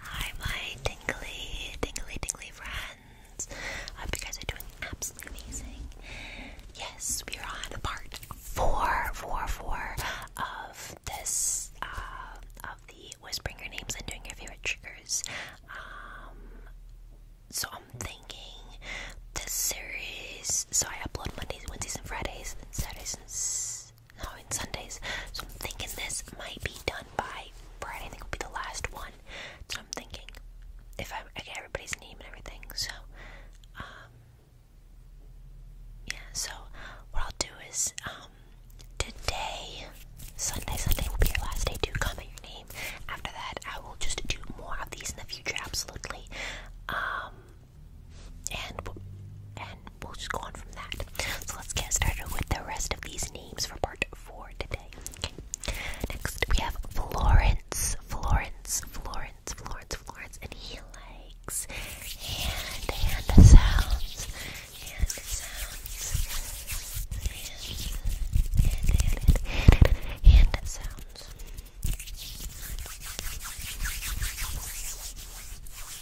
Hi my tingly, tingly, tingly friends. I hope you guys are doing absolutely amazing. Yes, we are on the part four, four, four of this, uh, of the whispering your names and doing your favorite triggers. Um, so I'm thinking this series, so I upload Mondays, Wednesdays, and Fridays, Saturdays, Oh, now in Sundays. So I'm thinking this might be done by Friday. I think will be the last one. So I'm thinking if I, okay, everybody's name and everything. So um yeah. So what I'll do is um today Sunday Sunday will be your last day to comment your name. After that, I will just do more of these in the future. Absolutely. Um and and we'll just go on from that. So let's get started with the rest of these names for part four today. Okay. Next we have Florence, Florence, Florence, Florence, Florence, and he likes hand, hand sounds, hand sounds, hand, hand, hand, hand, hand sounds.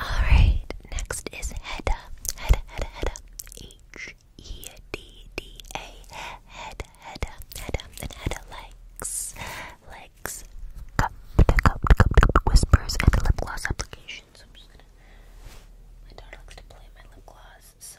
Alright, next is Hedda. Hedda, Hedda, Hedda. H E D D A. Hedda, Hedda, Hedda. And Hedda likes, likes cup, cup, cup, cup, whispers and lip gloss applications. I'm just gonna. My daughter likes to play my lip gloss, so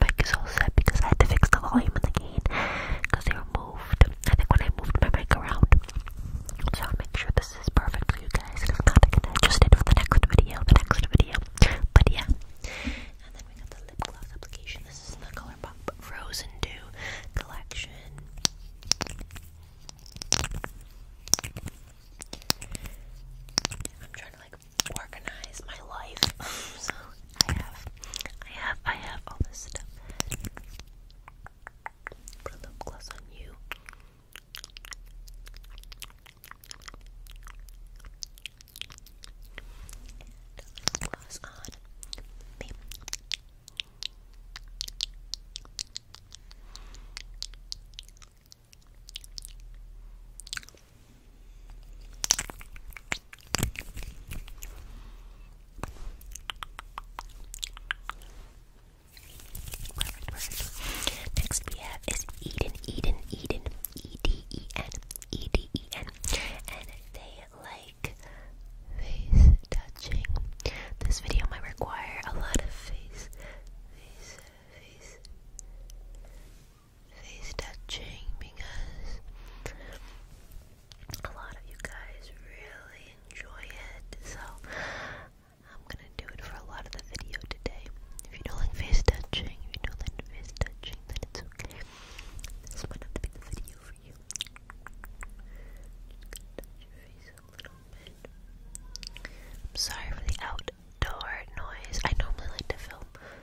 mic is all set because I had to fix the volume and the gain because they moved. I think when I moved my mic around. So I'll make sure this is perfect for you guys. I can adjust it for video, the next video. But yeah. And then we got the lip gloss application. This is the ColourPop Frozen Dew collection. I'm trying to like organize my life. so I have, I have, I have all this stuff. Put a gloss on you. gloss on me. Perfect, perfect. Next we have is Eden, Eden, Eden, E D E N, E D E N, and they like face touching. This video might require a lot of face, face touching because a lot of you guys really enjoy it. So I'm gonna do it for a lot of the video today. If you don't like face touching, if you don't like face touching, then it's okay. This might have be the video for you. touch your face a little bit. I'm sorry for the outdoor noise. I normally like to film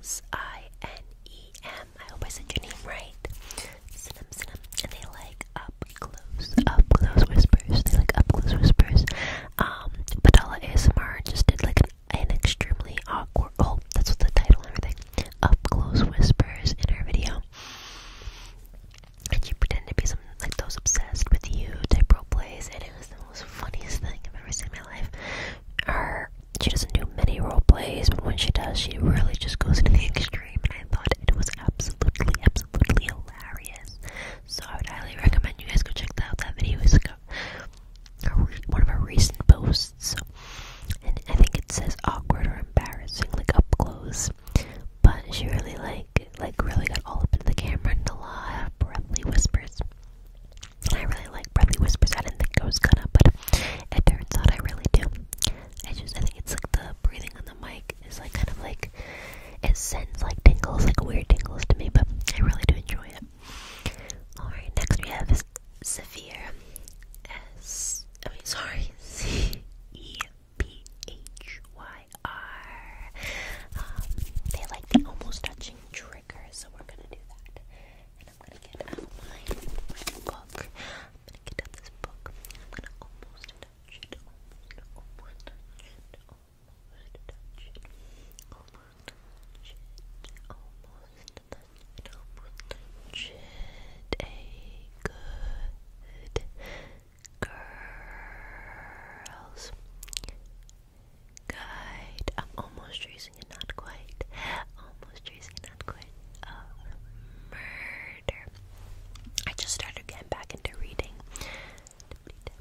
S I N E M. I hope I said your name right. Sinem, sinem. And they like up close, up close whispers. They like up close whispers. Um, Padala ASMR just did like an, an extremely awkward. Oh, that's what the title and everything. Up close whispers in her video. And she pretended to be some like those obsessed with you type role plays, and it was the most funniest thing I've ever seen in my life her she doesn't do many role plays, but when she does, she really just goes into the extreme. And I thought it was absolutely, absolutely hilarious. So I would highly recommend you guys go check that out. That video is like a, one of our recent posts, So, and I think it says awkward or embarrassing, like up close. But she really like like really got all up in the camera and a lot of whispers. I really like Breathy Whispers. I didn't think I was gonna, but it turns out I really do. I just think it's like the breathing on the mic is like kind of like it sends like tingles, like weird tingles to me, but I really do enjoy it. Alright, next we have Severe S I mean sorry, C E P H Y R. Um, they like the almost touching trigger, so we're gonna do that and I'm gonna get out my book. I'm gonna get out this book. I'm gonna almost touch it. Almost, touch it. Almost touch it. Almost touch it. Almost touch it. Almost touch it. A good girls. Good. I'm almost tracing it, not quite. Almost tracing it, not quite. murder. I just started getting back into reading. I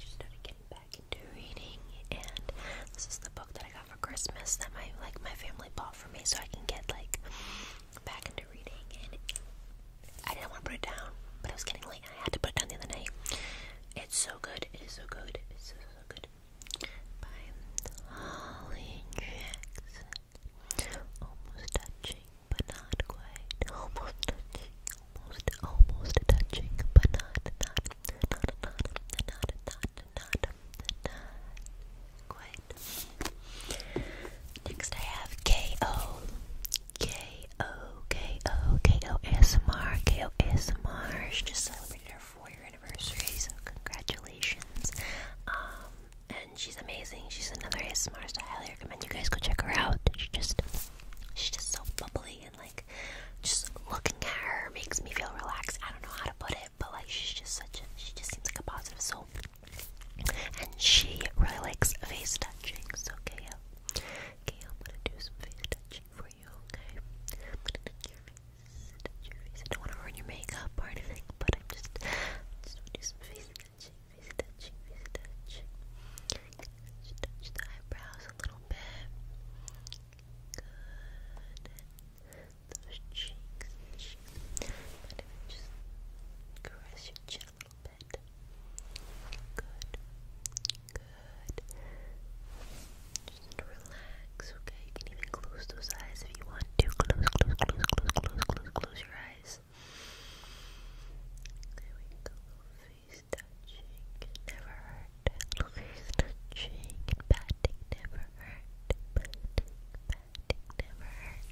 just started getting back into reading, and this is the book that I got for Christmas that my like my family bought for me, so I can get like back into reading. I didn't want to put it down, but it was getting late I had to put it down the other night. It's so good. It is so good. It's so, so good. By Holly Jackson. Almost touching, but not quite. Almost touching. Almost, almost touching, but not, not, not, not, not, not, not, not quite. Next I have K.O. K O K O K O S M R K O S M R. She just celebrating her four-year anniversary, so congratulations. Um, and she's amazing. She's another ASMR, so I highly recommend you guys go check her out. She just, she's just so bubbly and like, just looking at her makes me feel relaxed. I don't know how to put it, but like, she's just such a. She just seems like a positive soul. And she really likes face touching, okay, okay, I'm gonna do some face touching for you, okay? I'm gonna touch your face, don't wanna ruin your makeup or anything, but I'm just, just want some face touching, face touching, face touching. Touch, the eyebrows a little bit. Good. Those cheeks, cheeks. But just caress your chin it Good. Good. Just relax, okay? You can even close those eyes if you want to. Close, close, close, close, close, close, close your eyes. There we go. Face touching never hurt. Face touching patting never hurt. Patting, patting never hurt.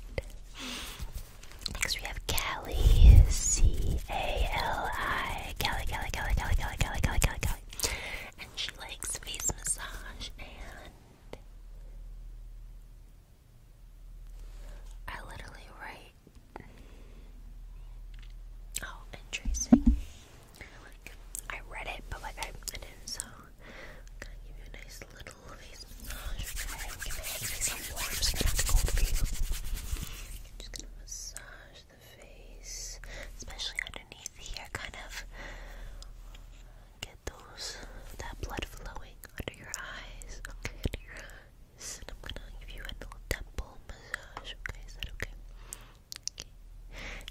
Next we have Callie, C A L I. Callie, Callie, Callie, Callie, Callie, Callie, Callie, Callie, Callie. And she likes face massage and. I literally write. Oh, and tracing. Like, I read it, but like I, I didn't, so I'm gonna give you a nice little massage I'm just gonna massage the face, especially underneath here, kind of get those that blood flowing under your eyes. Okay, And I'm gonna give you a little temple massage. Okay, is that okay? Okay.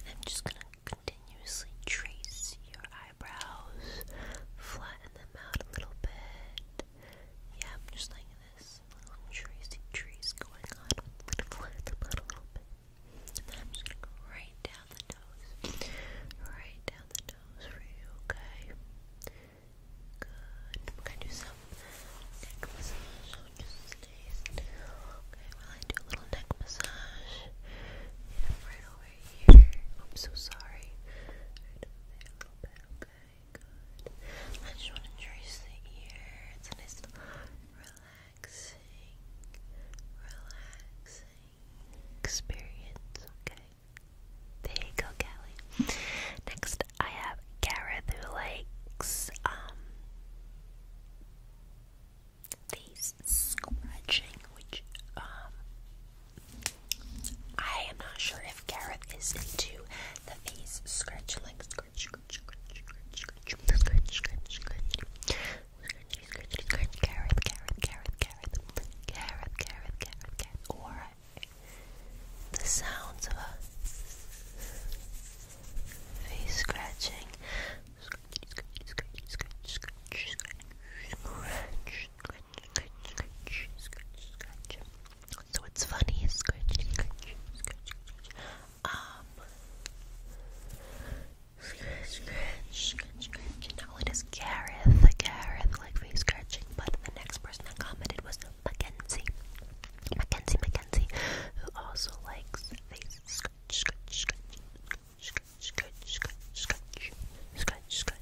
I'm just gonna continuously trace your eyebrows, flatten them out a little bit. Yeah, I'm just like this little tracy trees going on. I'm gonna flatten them out a little bit. And then I'm just gonna go right down the nose. Right down the nose for you, okay? Good. I'm gonna do some neck massage. So just stay still. Okay, while I do a little neck massage. Yeah, right over here. I'm so sorry. I just want to trace the ear. It's a relaxing, relaxing experience. Okay. There you go, Callie. Next, I have Gareth who um, these scratching, which um, I am not sure if Gareth is into the face scratch, like scratch, scratch, scratch, scratch, scratch, scratch, scratch, scratch. Scratch, scratch, Gareth, Gareth, Gareth, Gareth, Gareth, Gareth, Gareth, Gareth, or the sounds of a face scratching. Scratch, scratch, scratch, scratch, scratch, scratch, scratch, scratch, scratch, scratch. So it's funny, scratch, scratch, scratch, scratch. Um, scratch, scratch, scratch, scratch. Not only does Gareth, Gareth like face scratching, but the next person that commented was Mackenzie, Mackenzie, Mackenzie, who also likes face scratch, scratch, scratch, scratch, scratch, scratch, scratch, scratch, scratch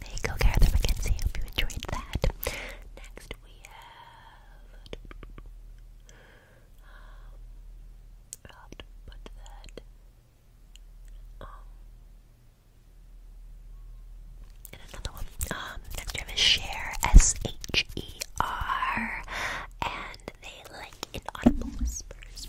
there you go, Gareth McKenzie. Hope you enjoyed that. Next we have um, and another one. Um next share S H E R and they like inaudible whispers. whispers.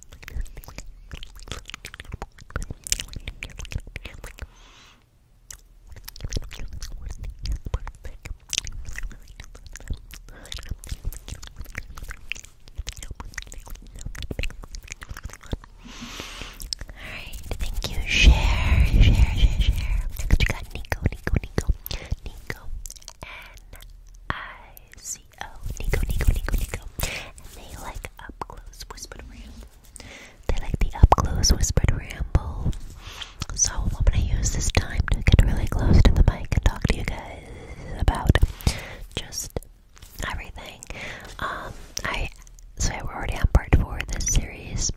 Alright, thank you. Share, share, share, share. Next we got Nico, Nico, Nico, Nico. N I C N-E-O, Nico, Nico, Nico, Nico. they like up close whispered ramble. They like the up close whispered ramble. So I'm gonna use this time to get really close to the mic and talk to you guys about just everything. Um, I so we're already on part four of this series.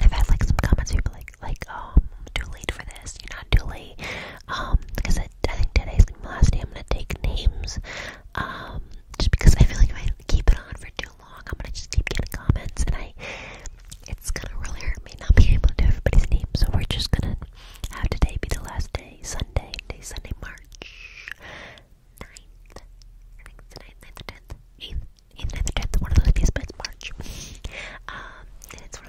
I've had like some comments people like like um too late for this, you're not too late um, because I, I think today's gonna be the last day I'm gonna take names, um, just because I feel like if I keep it on for too long, I'm gonna just keep getting comments, and I, it's gonna really hurt me not being able to do everybody's name, so we're just gonna have today be the last day, Sunday, Sunday, March 9th, I think it's the 9th, 9th 10th, 8th, 8th, 9th 10th, one of those days, but March, um, it's one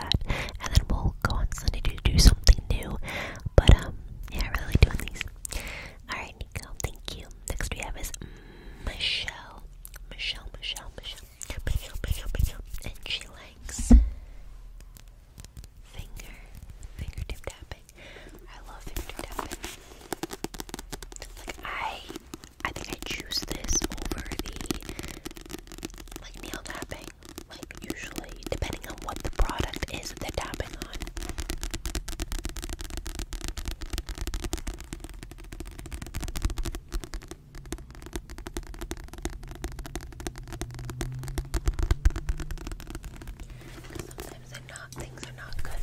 and then we'll go on Sunday to do something new. But um, yeah, I really like doing these. All right, Nico, thank you. Next we have is Michelle, Michelle, Michelle, Michelle, Michelle, Michelle, and she likes finger, fingertip tapping. I love fingertip tapping. Like I I think I choose this over the like nail tapping. Like usually, depending on what the product is that they're tapping on. sometimes they're not, things are not good on.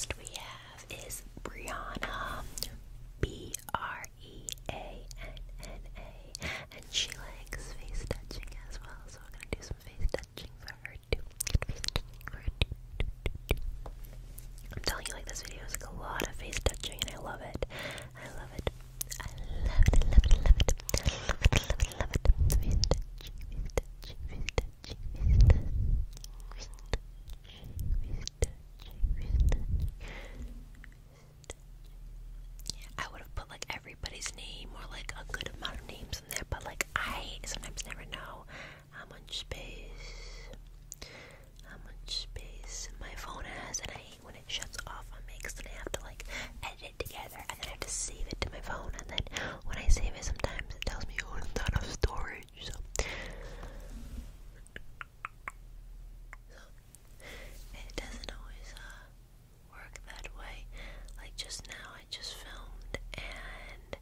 next we have is Brianna, B R E A N N A, and she likes face touching as well, so we're gonna do some face touching for her too. Face touching for her too. I'm telling you, like this video is like a lot of face touching, and I love it. I love it. I love it. I love it. I love it. I love it. I love it. I love it. Love it. Love it. Love it. Love it. Love it. Love it. Love it. Love it. I would have put like everybody's name or like a good amount of names in there, but like I sometimes never know how much space, how much space my phone has, and I hate when it shuts off on me so I have to like edit it together and then I have to save it to my phone and then when I save it, sometimes it tells me oh, it's ton of storage. So, it doesn't always uh, work that way. Like just now, I just filmed and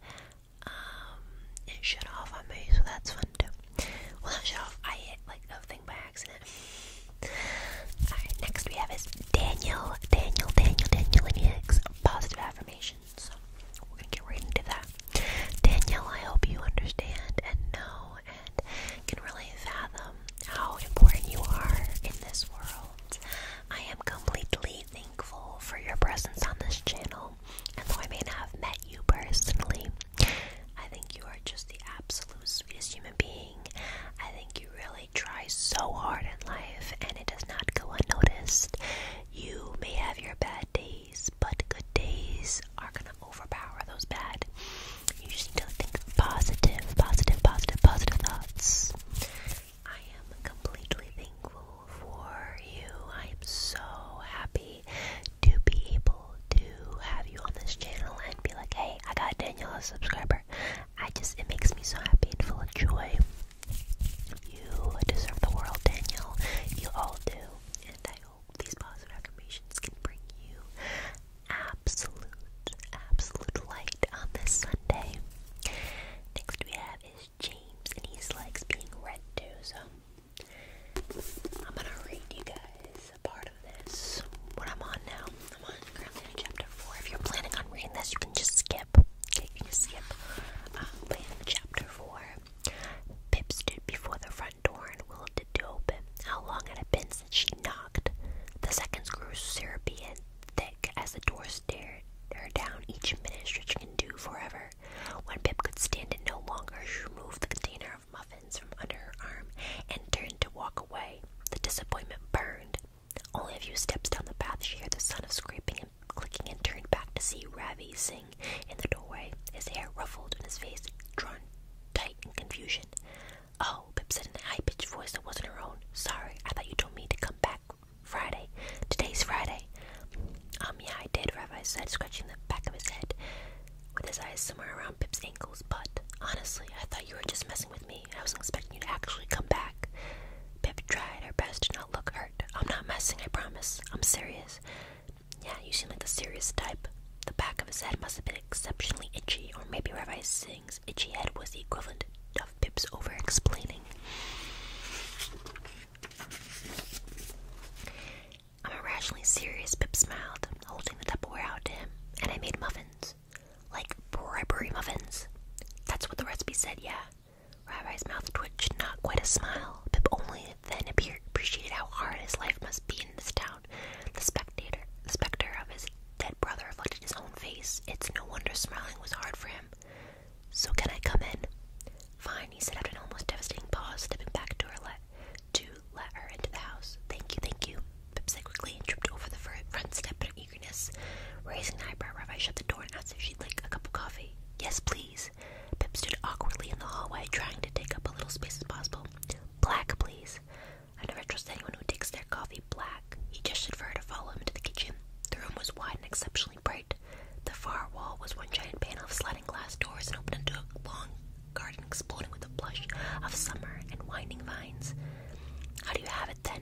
um, it shut off on me, so that's fun too. Well, not shut off. I hit like the by accident. Alright, next we have is Daniel, Daniel, Daniel, Daniel, and he positive affirmation. So we're gonna get right into that. Danielle, I hope you understand and know and can really fathom how important you are in this world. I am completely thankful for your presence on this channel, and though I may not have met you personally, I think you are just the absolute sweetest human being. I think you really really try so hard in life and it does not go unnoticed. You may have your bad days, but good days are going to overpower those bad. You just need to think positive, positive, positive, positive thoughts. I am completely thankful for you. I am so happy to be able to have you on this channel and be like, hey, I got Danielle a subscriber. I just, it makes me so happy and full of joy. You deserve the world, Daniel. You all do. And I hope these positive affirmations can bring you absolute, absolute light on this Sunday. Next we have is James, and he's likes being read to, so I'm gonna read you guys a part of this. What I'm on now. I'm on currently on chapter four. If you're planning on reading this, you can just skip. Pip, um, chapter 4, Pip stood before the front door and waited to open. How long had it been since she knocked. The seconds grew syrupy and thick as the door stared her down each minute, stretching and do forever. When Pip could stand it no longer, she removed the container of muffins from under her arm and turned to walk away. The disappointment burned, only a few steps down the path, she heard the sound of scraping and clicking and turned back to see Ravi sing in the doorway, his hair ruffled and his face drawn tight in confusion. Oh, Pip said in a high pitched voice that wasn't her own. Sorry, I thought you told me to come back Friday. Today's Friday. Um, yeah, I did, Ravi said, scratching the back of his head with his eyes somewhere around Pip's ankles, but honestly, I thought you were just messing with me. I was not expecting you to actually come back. Pip tried her best to not look hurt. I'm not messing, I promise. I'm serious. Yeah, you seem like the serious type. The back of his head must have been exceptionally itchy, or maybe Rabbi Singh's itchy head was the equivalent of Pip's over explaining. I'm irrationally serious, Pip smiled, holding the Tupperware out to him, and I made muffins. Like bribery muffins. That's what the recipe said, yeah. Rabbit's mouth twitched, not quite a smile. Pip only then appeared, appreciated how hard his life must be in this town. The spectator, specter of his dead brother reflected his own face. It's no wonder smiling was hard for him. So can I come in? Fine, he said after an almost devastating pause, stepping back to her let do, let her into the house. Thank you, thank you. Pip said quickly and tripped over the front step eagerness. Raising an eyebrow, Rabbi shut the door and asked if she'd like a cup of coffee. Yes, please. Pip stood awkwardly in the hallway, trying to take up as little space as possible. Black, please. I never trust anyone who takes their coffee black. He gestured for her to follow him into the kitchen. The room was wide and exceptionally bright. The far wall was one giant panel of sliding glass doors and opened into a long garden exploding with the blush of summer and winding vines. How do you have it then?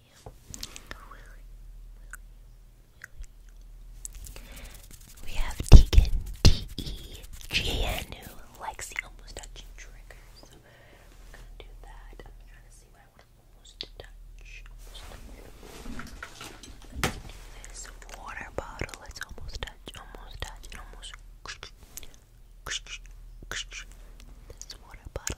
We have Tegan, T E G N, almost touching triggers. So we do that. I'm see what I want to almost touch. This water bottle is almost touch, almost touch, almost. This water bottle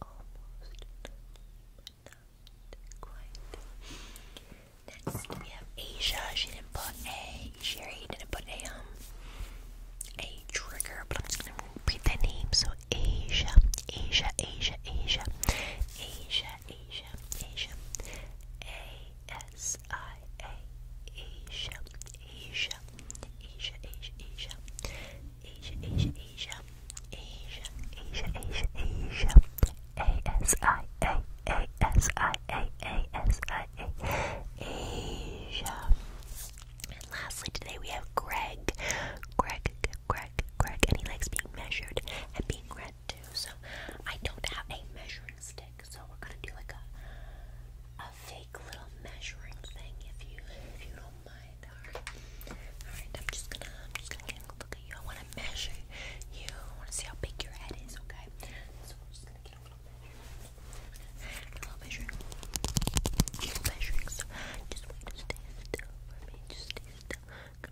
almost but not quite. Next we have Asia. She didn't put a Sherry didn't put a um a trigger, but I'm just gonna repeat the name. So Asia, Asia, Asia, Asia, Asia, Asia, Asia, A S I A Asia, Asia, Asia, Asia, Asia, Asia, Asia, Asia, Asia, Asia, Asia, Asia, A S I A, A S I A, A S I A, Asia. And lastly, today we have Greg, Greg, Greg, Greg, and he likes being measured and being read too. So I don't have a measuring stick, so we're gonna do like a a fake little measuring thing if you if you don't mind. Alright. I'm just gonna I'm just gonna get look at you. I wanna measure you. I wanna see how big your head is, okay? So we're gonna get a little measure. A little measure. measuring. So just wait to stay still Just stay still. Go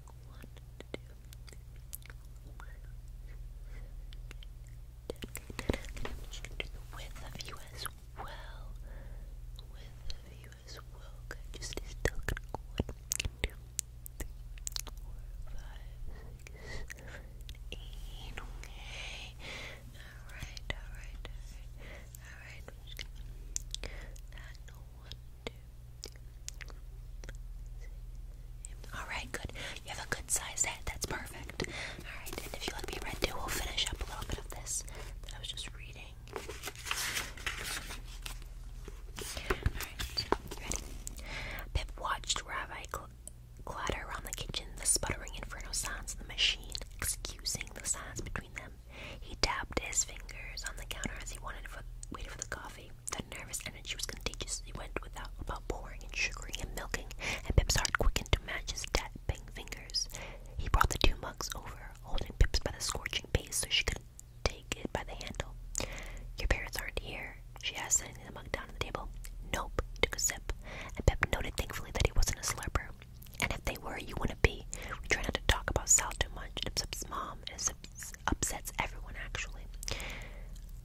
Okay. I'm gonna do the width of you as well with the view as well. just is still Okay. Alright, alright, alright. Alright, Alright, good. You have a good size head. That's perfect. Alright, and if you let me read too, we'll finish up a little bit of this that I was just reading. Alright, ready? Pip watched Rabbi clatter around the kitchen, the sputtering inferno sounds the machine, excusing the silence between them. He tapped his fingers on the counter as he waited for the coffee. The nervous energy was contagious. He went without about pouring and sugaring and milking, and Pip's heart quickened to match his tapping fingers. He brought the two mugs over, holding Pips by the scorching base so she could take it by the handle. Your parents aren't here, she asked, setting the mug down on the table. Nope, he took a sip, and Pip noted thankfully that he wasn't a slurper. And if they were, you wouldn't be. We try not to talk about Sal too much. It upsets mom, and it upsets everyone, actually.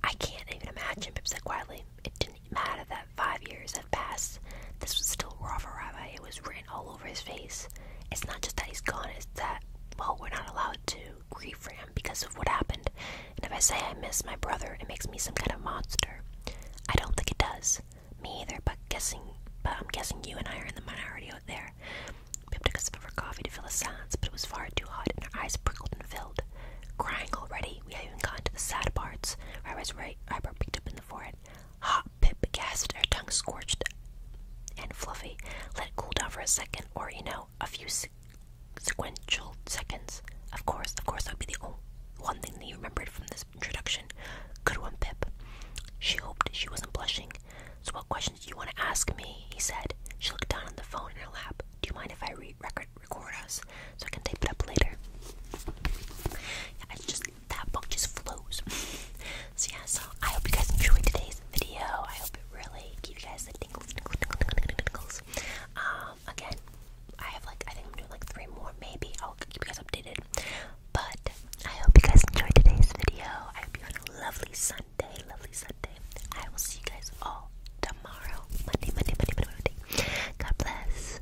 I can't even imagine, Pip said quietly. It didn't mad that five years had passed. This was still Rafa Rabbi. It was written all over his face. It's not just that he's gone, it's that, well, we're not allowed to grieve for him because of what happened. And if I say I miss my brother, it makes me some kind of monster. I don't think it does. Me either, but guessing but I'm guessing you and I are in the minority out there. Pip took a sip of her coffee to fill the silence, but it was far too hot and her eyes prickled and filled. Crying already, we haven't gotten to the sad parts. Ira's right eyebrow picked up in the forehead. Hot Pip gasped, her tongue scorched and fluffy. Let it cool down for a second, or you know, a few sequential seconds. Of course, of course, that would be the only one thing that you remembered from this introduction. Good one, Pip. She hoped she wasn't blushing. So, what questions do you want to ask me? He said. She looked down on the phone in her lap. Do you mind if I record, record us so I can tape it up later? Yeah, I just that book just flows. so yeah, so I hope you guys enjoyed today's video. I hope it really gave you guys the tingles, tingles, tingles, tingles, Um, again, I have like I think I'm doing like three more, maybe. I'll keep you guys updated. But I hope you guys enjoyed today's video. I hope you had a lovely Sunday, lovely Sunday. I will see you guys all tomorrow, Monday, Monday, Monday, Monday, Monday. God bless.